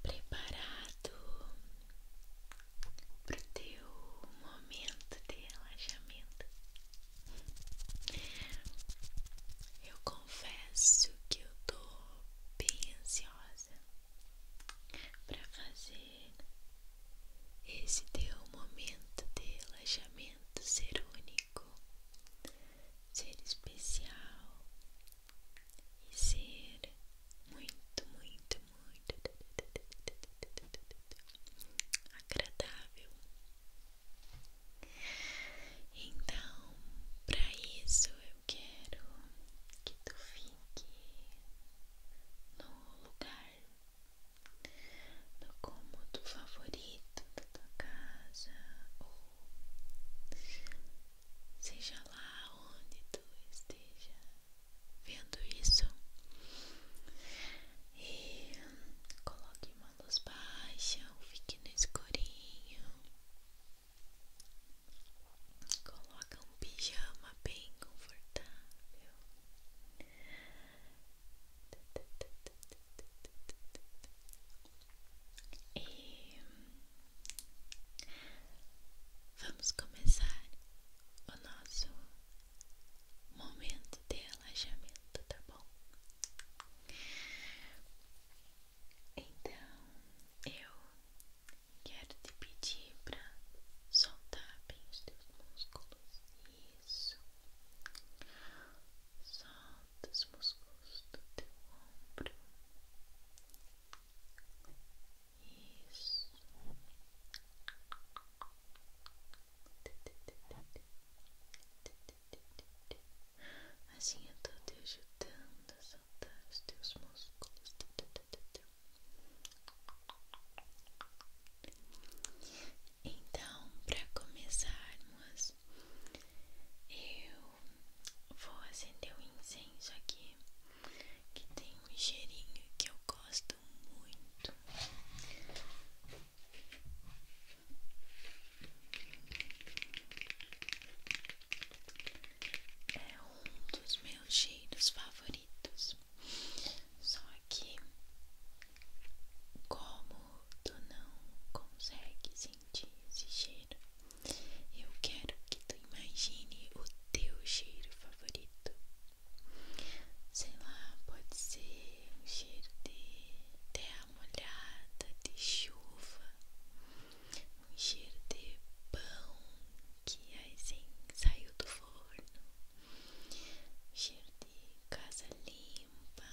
preparado pro teu momento de relaxamento. Eu confesso que eu tô bem ansiosa para fazer esse teu momento de relaxamento ser único, ser especial e ser muito, muito, muito agradável. Então, para isso eu quero que tu fiques no lugar, no cômodo favorito da tua casa ou seja lá onde tu esteja vendo isso, e coloque uma luz baixa, ou fique no escurinho, coloca um pijama bem confortável. E vamos começar o nosso momento de relaxamento, tá bom? Então eu quero te pedir para soltar bem os teus músculos. Isso. Solta dos músculos do teu ombro. Isso. Assim eu tô te ajudando a soltar os teus músculos. Então, para começarmos, eu vou acender o incenso aqui que tem um cheirinho que eu gosto muito. É um dos meus cheiros favoritos. Só que como tu não consegue sentir esse cheiro, eu quero que tu imagine o teu cheiro favorito. Sei lá, pode ser um cheiro de terra molhada, de chuva, um cheiro de pão que assim saiu do forno, um cheiro de casa limpa,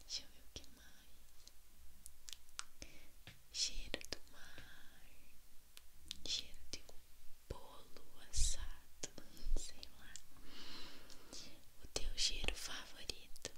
deixa eu ver o que mais cheiro do mar, cheiro de bolo assado, sei lá, o teu cheiro favorito,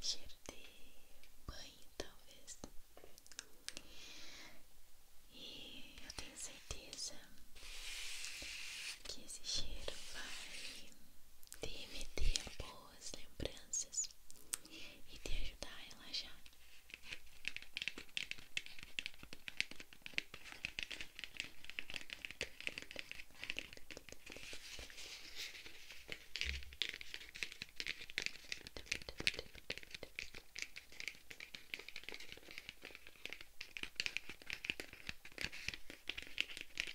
cheiro de banho talvez. E eu tenho certeza que esse cheiro vai te remeter boa boas lembranças e te ajudar a relaxar.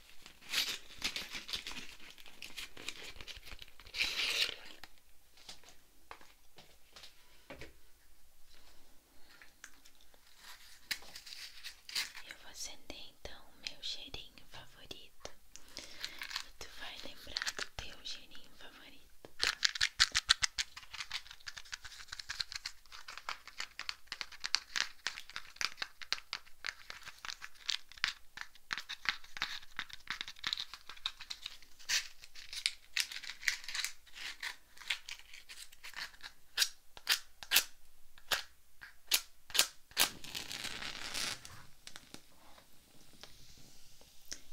Eu vou acender então o meu cheirinho favorito e tu vai lembrar do teu cheirinho favorito, tá?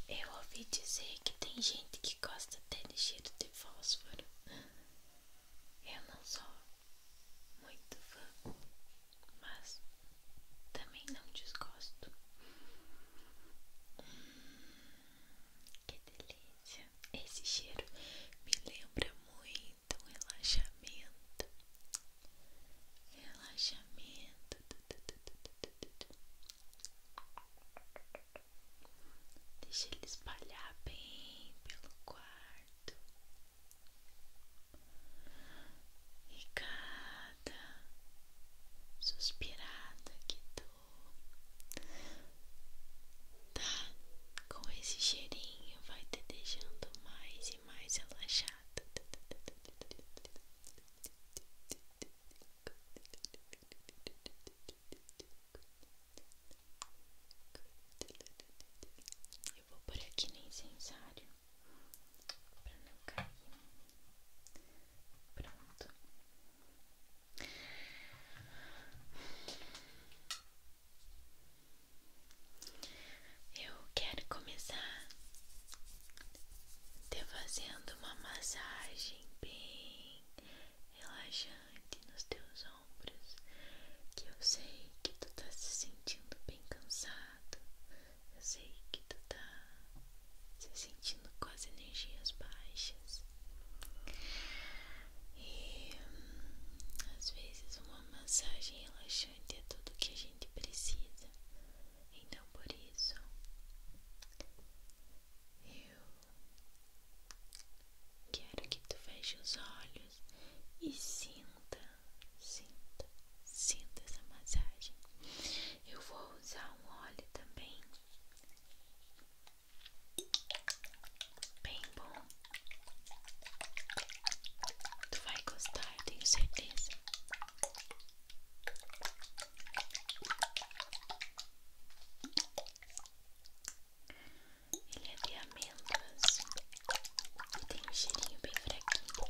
Eu ouvi dizer que tem gente que gosta de cheiro de fósforo eu não sou muito fã, mas também não desgosto. Hum, que delícia! Esse cheiro me lembra muito um relaxamento. Relaxamento. Deixa ele espalhar bem pelo quarto e cada suspirada que tu tá com esse cheirinho vai te deixando mais e mais relaxada. Eu vou por aqui no incensário para não cair. Pronto. Eu quero começar te fazendo uma massagem bem relaxante nos teus ombros, que eu sei que tu tá se sentindo bem cansado, eu sei que tu tá se sentindo com as energias baixas. E hum, às vezes uma massagem relaxante é tudo que a gente precisa. Então por isso eu quero que tu feche os olhos e sinta, sinta, sinta essa massagem. Eu vou usar um óleo também, bem bom. Tu vai gostar, tenho certeza. Ele é de e tem um cheirinho bem fraquinho.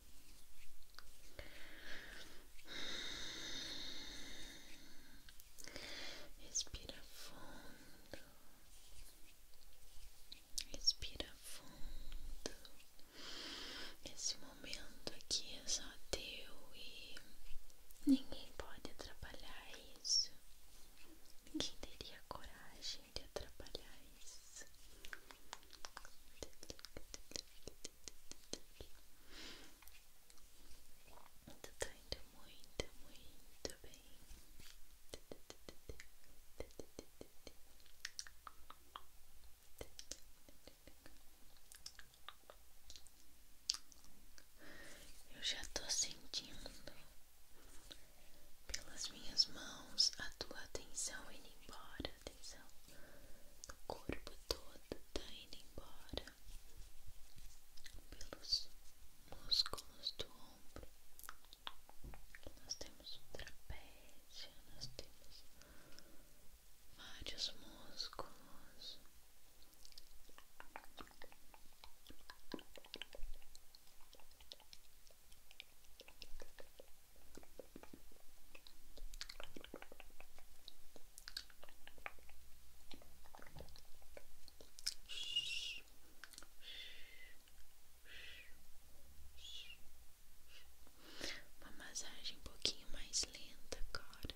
Respira fundo, respira fundo. Esse momento aqui é só teu e ninguém pode atrapalhar isso. Ninguém teria coragem de atrapalhar isso. Então muito, muito bem. Eu já tô sentindo pelas minhas mãos a tua atenção indo embora a atenção do corpo todo tá indo embora pelos músculos do ombro. Nós temos o trapézio, nós temos vários músculos. Uma massagem um pouquinho mais lenta cara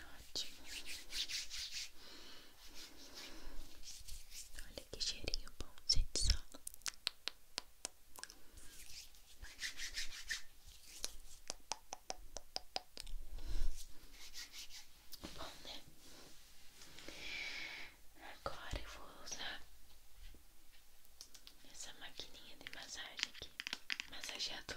Ótimo. Olha que cheirinho bom, gente. Só bom, né? Agora eu vou usar essa maquininha de massagem aqui, massageador.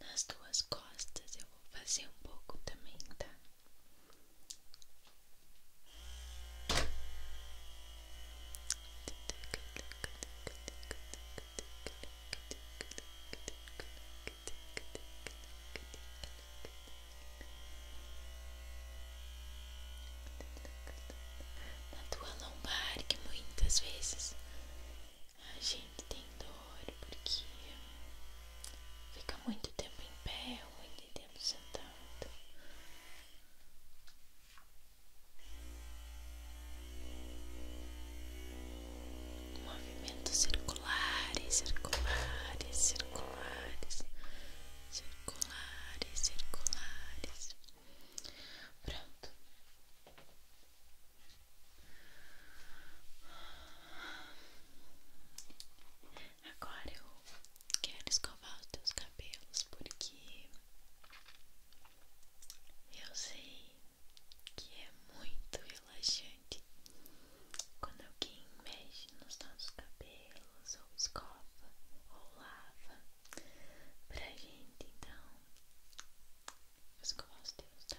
Nas duas costas eu vou fazer um pouco também, tá? Na tua lombar, que muitas vezes a gente tem dor porque fica muito tempo em pé ali sentado. Movimentos circulares, circulares, circulares, circulares, circulares. Pronto. Agora eu quero escovar os teus cabelos porque eu sei que é muito relaxante quando alguém mexe nos nossos cabelos ou escova ou lava pra gente, então vou escovar os teus, tá?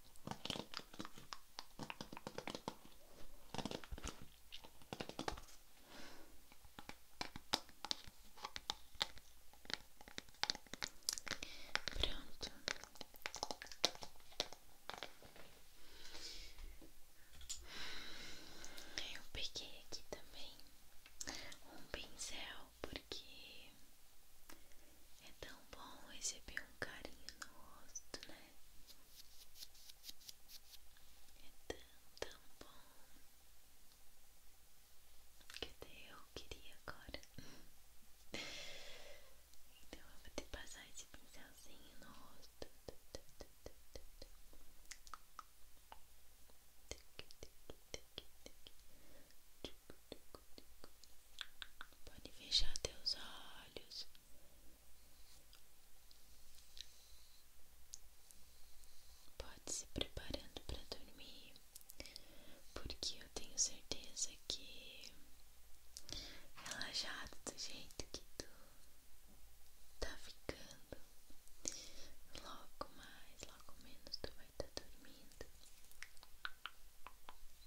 Pronto. Eu peguei aqui também um pincel porque é tão bom receber um carinho no rosto, né? É tão, tão bom que até eu queria agora. Então eu vou te passar esse pincelzinho no rosto. Pode fechar teus olhos. Pode se preparando para dormir, porque eu tenho certeza que relaxado do jeito que tu tá ficando, logo mais, logo menos tu vai estar tá dormindo.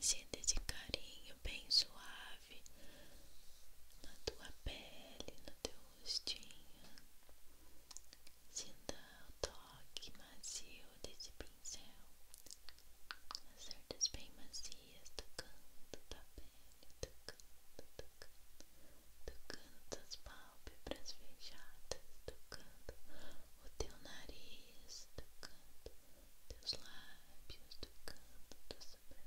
Sinta esse carinho bem suave na tua pele, no teu rostinho. Sinta o toque macio desse pincel, as cerdas bem macias tocando tua pele, tocando, tocando, tocando tuas pálpebras fechadas, tocando o teu nariz, tocando teus lábios, tocando tua sobrancelha.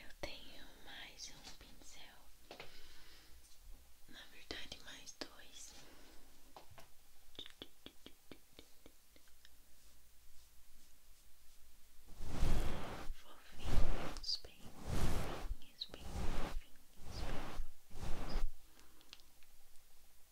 Eu tenho mais um pincel, na verdade, mais dois. Fofinhos, bem fofinhos, bem fofinhos,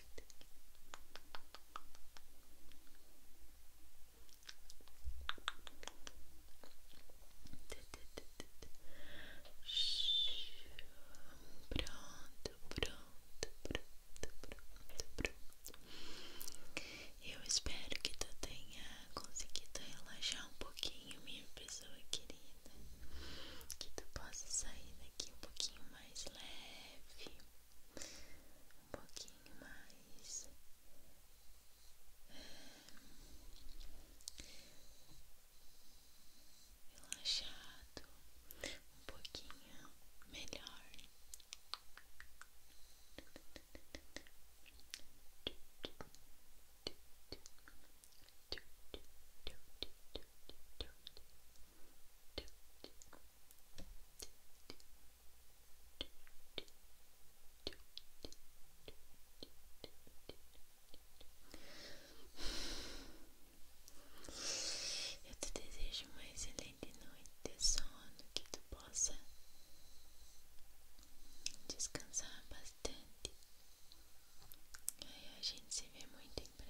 Pronto, pronto, pronto, pronto, pronto. Eu espero que tu tenha conseguido relaxar um pouquinho, minha pessoa querida. Que tu possa sair daqui um pouquinho mais leve um pouquinho mais relaxado, um pouquinho melhor. Eu te desejo uma excelente noite de sono, que tu possa descansar bastante. Aí a gente se vê muito em breve